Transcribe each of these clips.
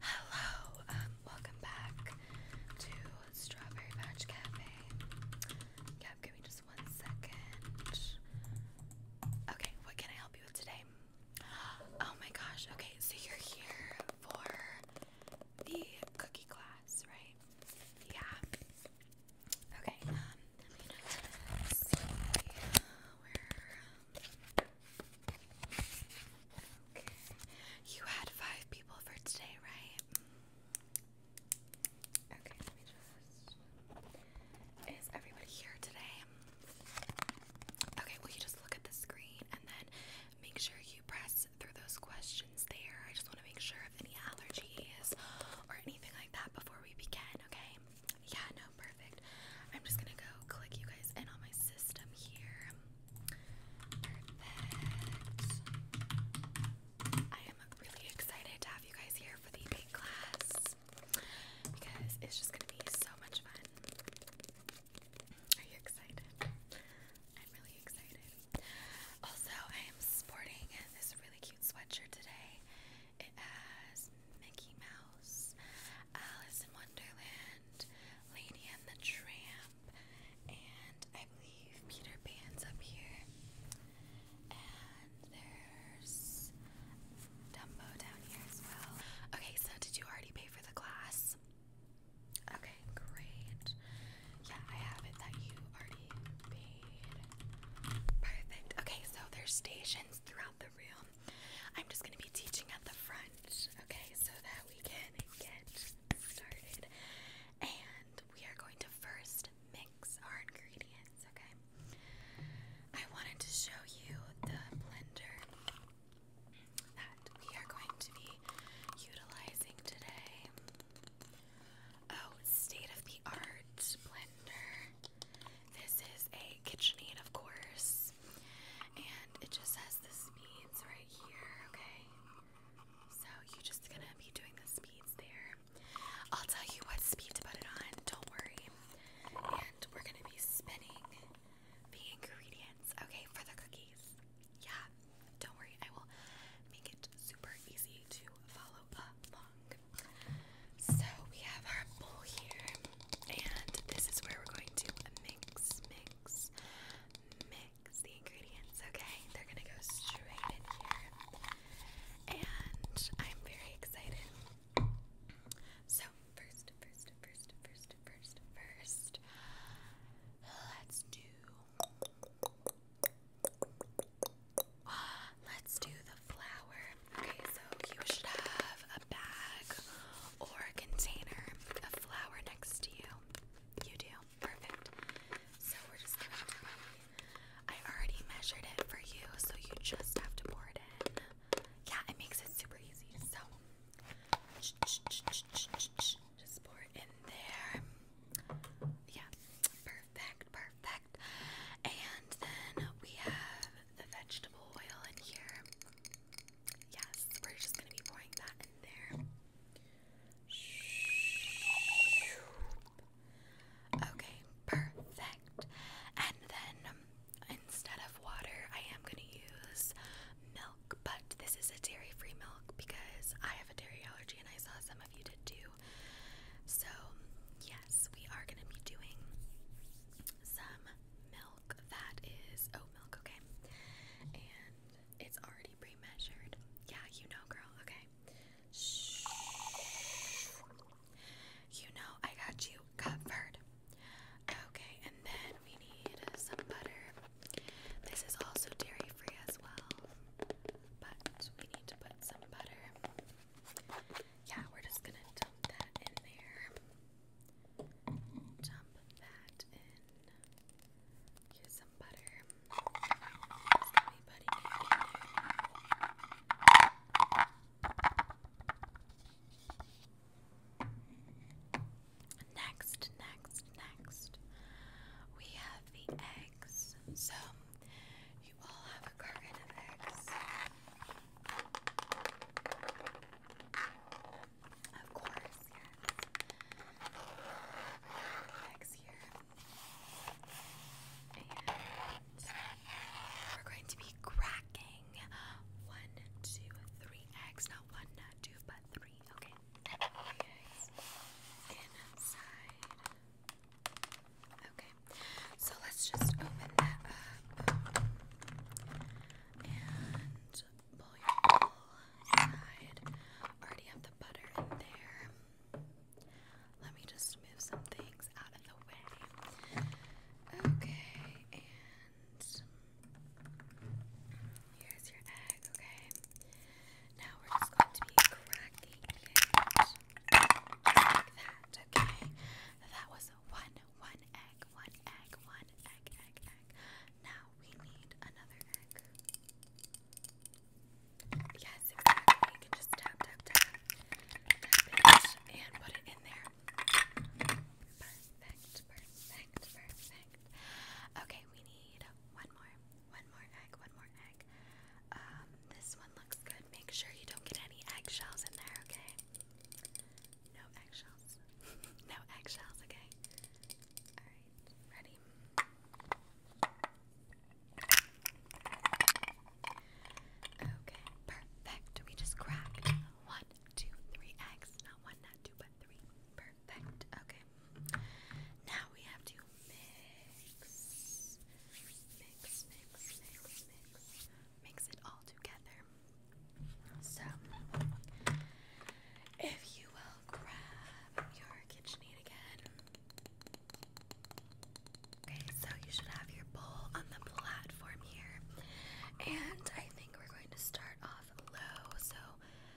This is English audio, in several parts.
Hello, um, welcome back to Strawberry Patch Cafe. give me just one second. Okay, what can I help you with today? Oh my gosh, okay, so you're here for the cookie class, right? Yeah. Okay, um, um, Okay, you had five people for today, right? Okay, let me just. Is everybody here today? Okay, well, you just look at the screen and then make sure you press through those questions there. I just want to make sure if any allergies or anything before we begin, okay? Yeah, no, perfect. I'm just gonna go click you guys in on my system here. I am really excited to have you guys here for the big class because it's just gonna be so much fun. Are you excited? I'm really excited. Also, I am sporting this really cute sweatshirt today. It has Mickey Mouse, Alice in Wonderland, Lady and the Tramp, and I believe Peter Pan's up here. And there's Dumbo down here as well. Okay, so did you already pay for the class? Okay, great. Yeah, I have it that you already paid Perfect. Okay, so there's stations throughout the room. I'm just gonna be teaching at the front, okay, so that we can get started. And we are going to first mix our ingredients, okay? I wanted to show you the blender that we are going to be utilizing today. Oh, state of the art blender. This is a KitchenAid, of course. And it just has the speeds right here, okay? So you're just gonna be doing the speeds there. I'll tell you what speed to put it on, don't worry. And we're gonna be spinning the ingredients, okay, for the cookies. Yeah, don't worry, I will make it super easy to follow follow up long. So we have our bowl here, and this is where we're going to mix, mix, mix the ingredients. Okay, they're gonna go straight in here, and I'm very excited. So first, first, first, first, first, first, let's do. Let's do the flower. Okay, so you should have a bag or a container of flour next to you. You do. Perfect. So we're just gonna I already measured it for you, so you just have to pour it in. Yeah, it makes it super easy. So just pour it in there. Yeah, perfect, perfect. And then we have the vegetable oil in here. Yes, we're just gonna be pouring that in there. Okay, perfect. And then um, instead of water, I am gonna use milk, but this is a dairy free milk because I have a dairy allergy and I saw some of you did too. So, yes, we are going to be doing some milk that is oat milk, okay? And it's already pre measured. Yeah, you know, girl, okay? Shh. You know, I got you covered. Okay, and then we need some butter. This is also dairy free as well but we need to put some butter. Yeah, we're just gonna dump that in there. Dump that in. Here's some butter. There's going in there. Next, next, next, we have the egg. So you all have a carton of eggs. Of course, yes. Eggs here. And we're going to be cracking one, two, three eggs. Not one, not two, but three. Okay. Okay. Inside. Okay. So let's just open that up and pull your bowl aside. Already have the butter in there. Let me just move some things out of the way. Okay, and here's your egg, okay? Now we're just going to be cracking it like that, okay? That was one, one egg, one egg, one egg, egg, egg. Now we need another egg. Yes, exactly. You can just tap, tap, tap, tap it, and put it in there. Perfect, perfect, perfect. Okay, we need one more. One more egg, one more egg. Um, this one looks good. Make sure you don't get any eggshells in there, okay? No eggshells. no eggshells, okay? Alright, ready? Okay, perfect. We just cracked one, two, three eggs. Not one, not two, but three. Perfect. Okay. Now we have to mix, mix, mix, mix, mix, mix it all together. So, if you will grab your KitchenAid again. Okay, so you should have your bowl on the platform here. And I think we're going to start off low. So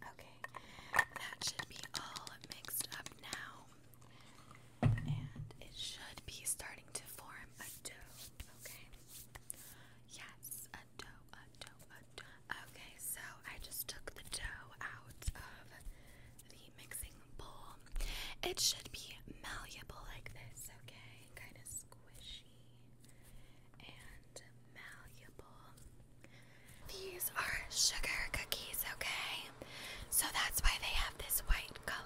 Okay, that should be all mixed up now, and it should be starting to form a dough. Okay, yes, a dough, a dough, a dough. Okay, so I just took the dough out of the mixing bowl. It should be malleable like this. Okay, kind of squishy and these are sugar cookies, okay? So that's why they have this white color.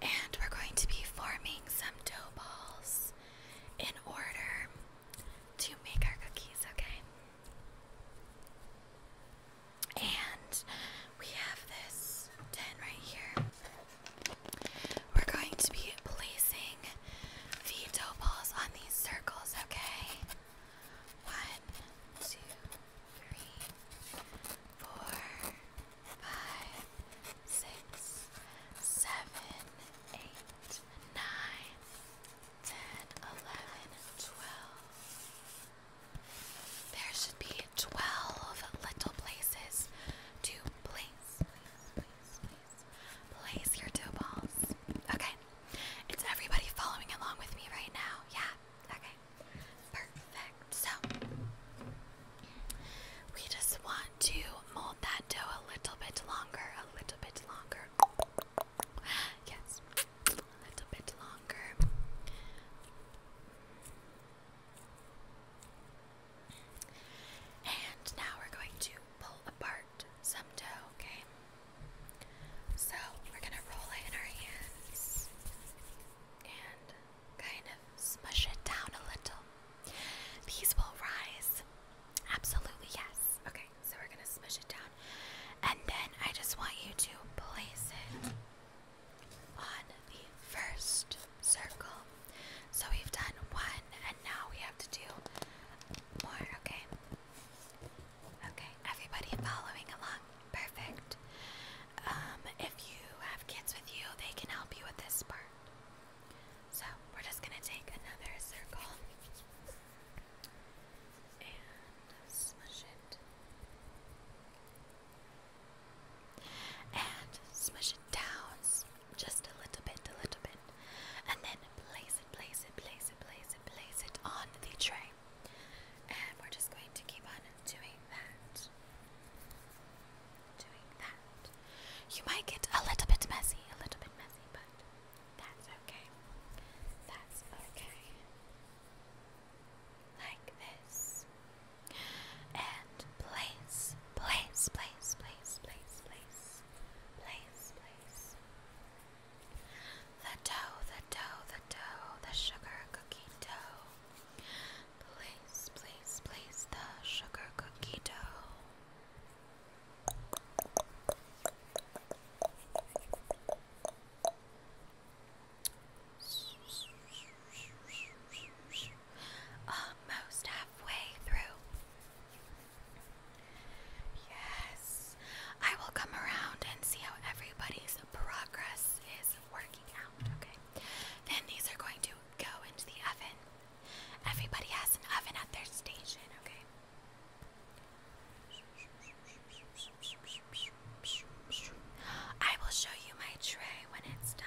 And we're going to be forming some dough balls in order to make our cookies, okay? And we have this tin right here. We're going to be placing veto balls on these circles, okay? One, two, three, four, five, six, seven, eight, nine, ten, eleven, twelve. There should be twelve little places to place. Place your dough balls. Okay. It's everybody following along with me right now. Yeah. Okay. Perfect. So we just want to mold that dough a little bit longer. A little bit longer. Yes. A little bit longer. And now we're going to pull apart some dough, okay? So we're gonna roll it in our hands and kind of smush it down a little. These will rise. Absolutely, yes. Okay, so we're gonna smush it down. And then I just want you to place it on the first circle. So we've done one, and now we have to do more, okay. Okay, everybody following along. Perfect. Um, if you have kids with you, they can help you with this part. So, we're just gonna take another circle and smush it. And smush it down just a little bit, a little bit, and then place it, place it, place it, place it, place it on the tray. And we're just going to keep on doing that. Doing that. You might get a little bit messy, a little bit messy, but that's okay. That's okay. Like this. And place, place, place, place, place, place place, place. The dough, the dough, the dough, the sugar cookie dough. Place, place, place the sugar cookie dough. Almost um, halfway through. Yes, I will come around and see how everybody's progress is working out, okay? Then these are going to go into the oven. Everybody has an oven at their station, okay? I will show you my tray when it's done.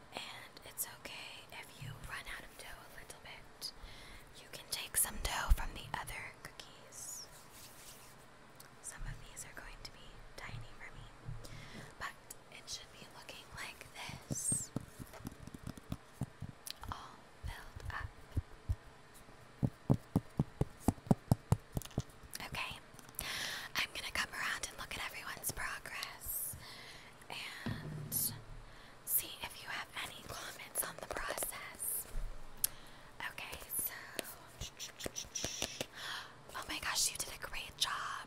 And it's okay if you run out of dough a little bit. You can take some dough from the other cookies. Some of these are going to be tiny for me, but it should be looking like this. All filled up. Okay, I'm gonna come around and look at everyone's progress and see if you have any comments on the process. Okay, so. Oh my gosh, you did a great job.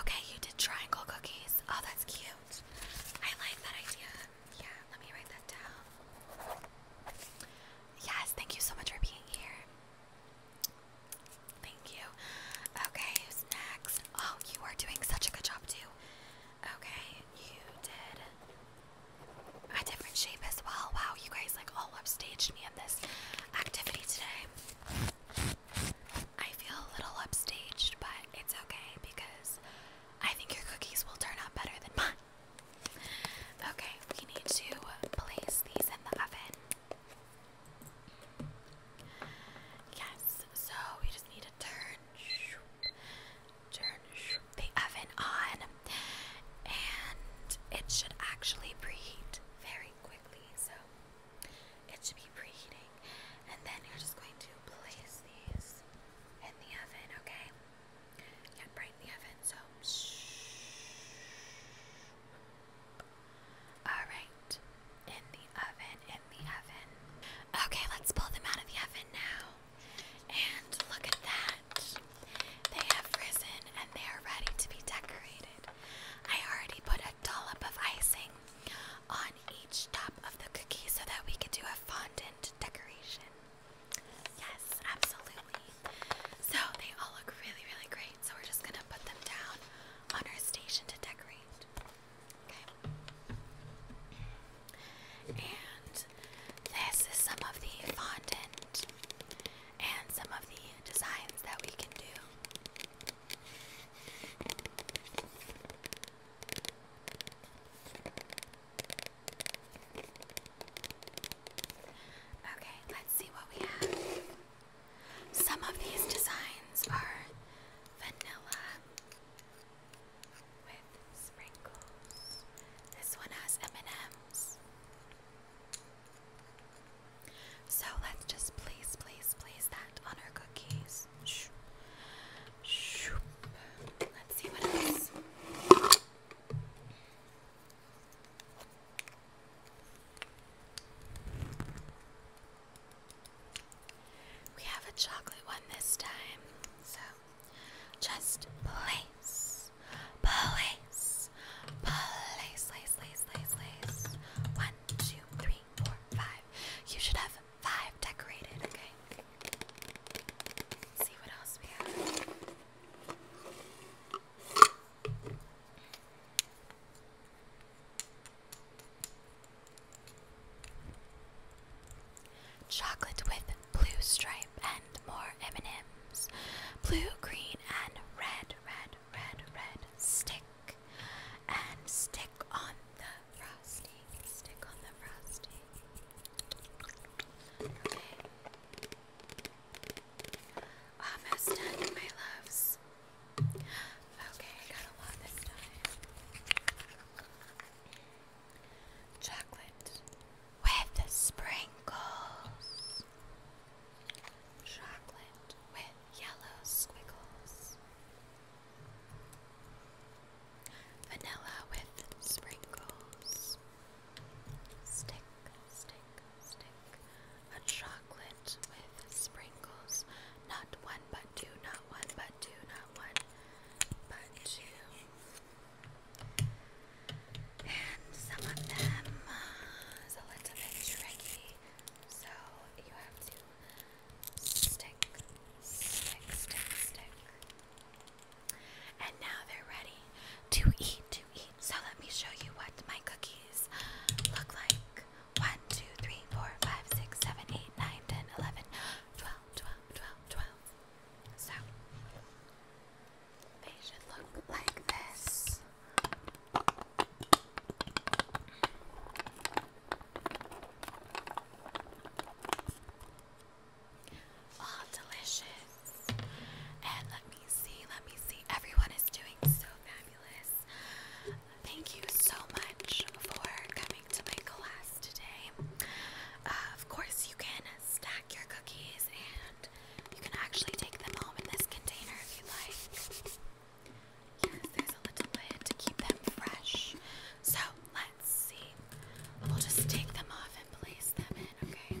Okay, you did triangle cookies. Oh, that's cute. I like that idea. Yeah, let me write that down. Yes, thank you so much for being here. Thank you. Okay, who's next? Oh, you are doing such a good job too. Okay, you did a different shape as well. Wow, you guys like all upstaged me in this activity today. I feel a little upstaged, but it's okay because I think your cookies will turn out better than mine. Okay, we need to place these in the oven. Yes, so we just need to turn turn the oven on and it should actually preheat very quickly. So it should be preheating and then you're just going to place these in the oven, okay? Yeah, right in the oven. So Alright, in the oven, in the oven. Okay, let's pull them out of the oven now. And look at that. They have risen and they are ready to be decorated. I already put a dollop of icing on each top of the cookie so that we could do a fondant decoration. Yes, absolutely. So they all look really, really great. So we're just gonna put them down on our station to decorate. Okay. And this is some of the fondant and some of the designs that we can do. Okay, let's see what we have. Some of these designs are vanilla with sprinkles. This one has M&Ms. So let's just place, place, place that on our cookies. Shoop. Shoop. Let's see what else. We have a chocolate one this time, so just place, place, place, lace, lace, lace, One, two, three, four, five. You should have five decorated, okay? see what else we have. Chocolate with blue stripe and more M&Ms. Blue, green, and red, red, red, red. Stick and stick on the frosting. Stick on the frosting. Almost ah, done, my loves. Okay, I got a lot this time. Chocolate with sprinkles. Chocolate with yellow squiggles. Vanilla with sprinkles. Stick stick, stick. A chocolate with sprinkles. Not one but two, not one but two, not one but two. And some of them are a little bit tricky. So you have to stick, stick, stick, stick. And now they're ready to eat. So let me show you what my cookies look like. 1, So they should look like this. All delicious. And let me see, let me see. Everyone is doing so fabulous. Thank you so much for coming to my class today. Uh, of course, you can stack your cookies and you can actually take them home in this container if you like. Yes, there's a little lid to keep them fresh. So let's see. We'll just take them off and place them in, okay?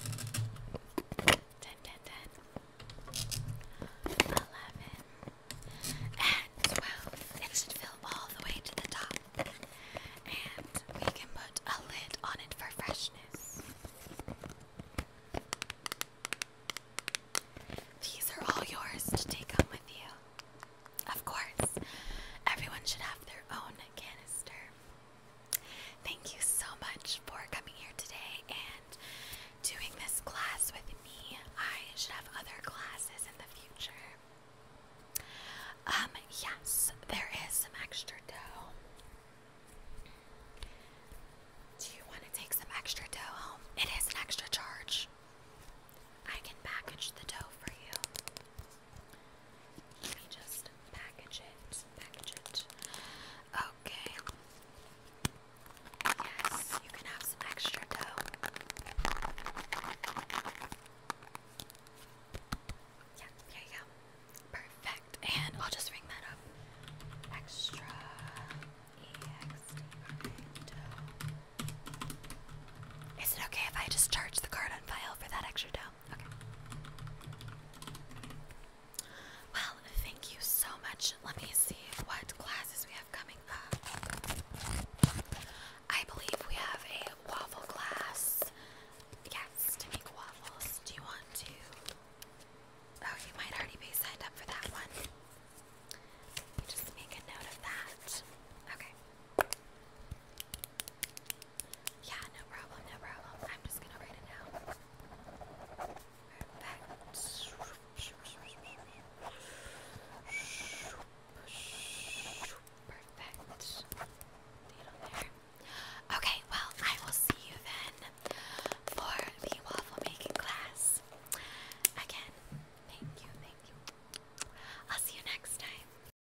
10, and 12. It should fill all the way to the top. And we can put a lid on it for freshness. These are all yours to take home with you. Of course, everyone should have their own canister. Thank you so much for coming here today and doing this class with me. I should have other classes in the future. Um, yes, there is some extra dough. Do you want to take some extra dough home? It is an extra charge. I can package the dough for you. Let me just package it, package it. Okay. Yes, you can have some extra dough. Yeah, yeah, yeah. Perfect. And I'll just ring that up. Extra EXT dough. Is it okay if I just charge the card on file for that extra dough? Well, thank you so much. Let me see what classes we have coming up. I believe we have a waffle class. Yes, to make waffles. Do you want to? Oh, you might already be signed up for that one. Just make a note of that. Okay. Yeah, no problem, no problem. I'm just gonna write it down. Perfect. Okay, well, I will see you then for the waffle making class. Again, thank you, thank you. I'll see you next time.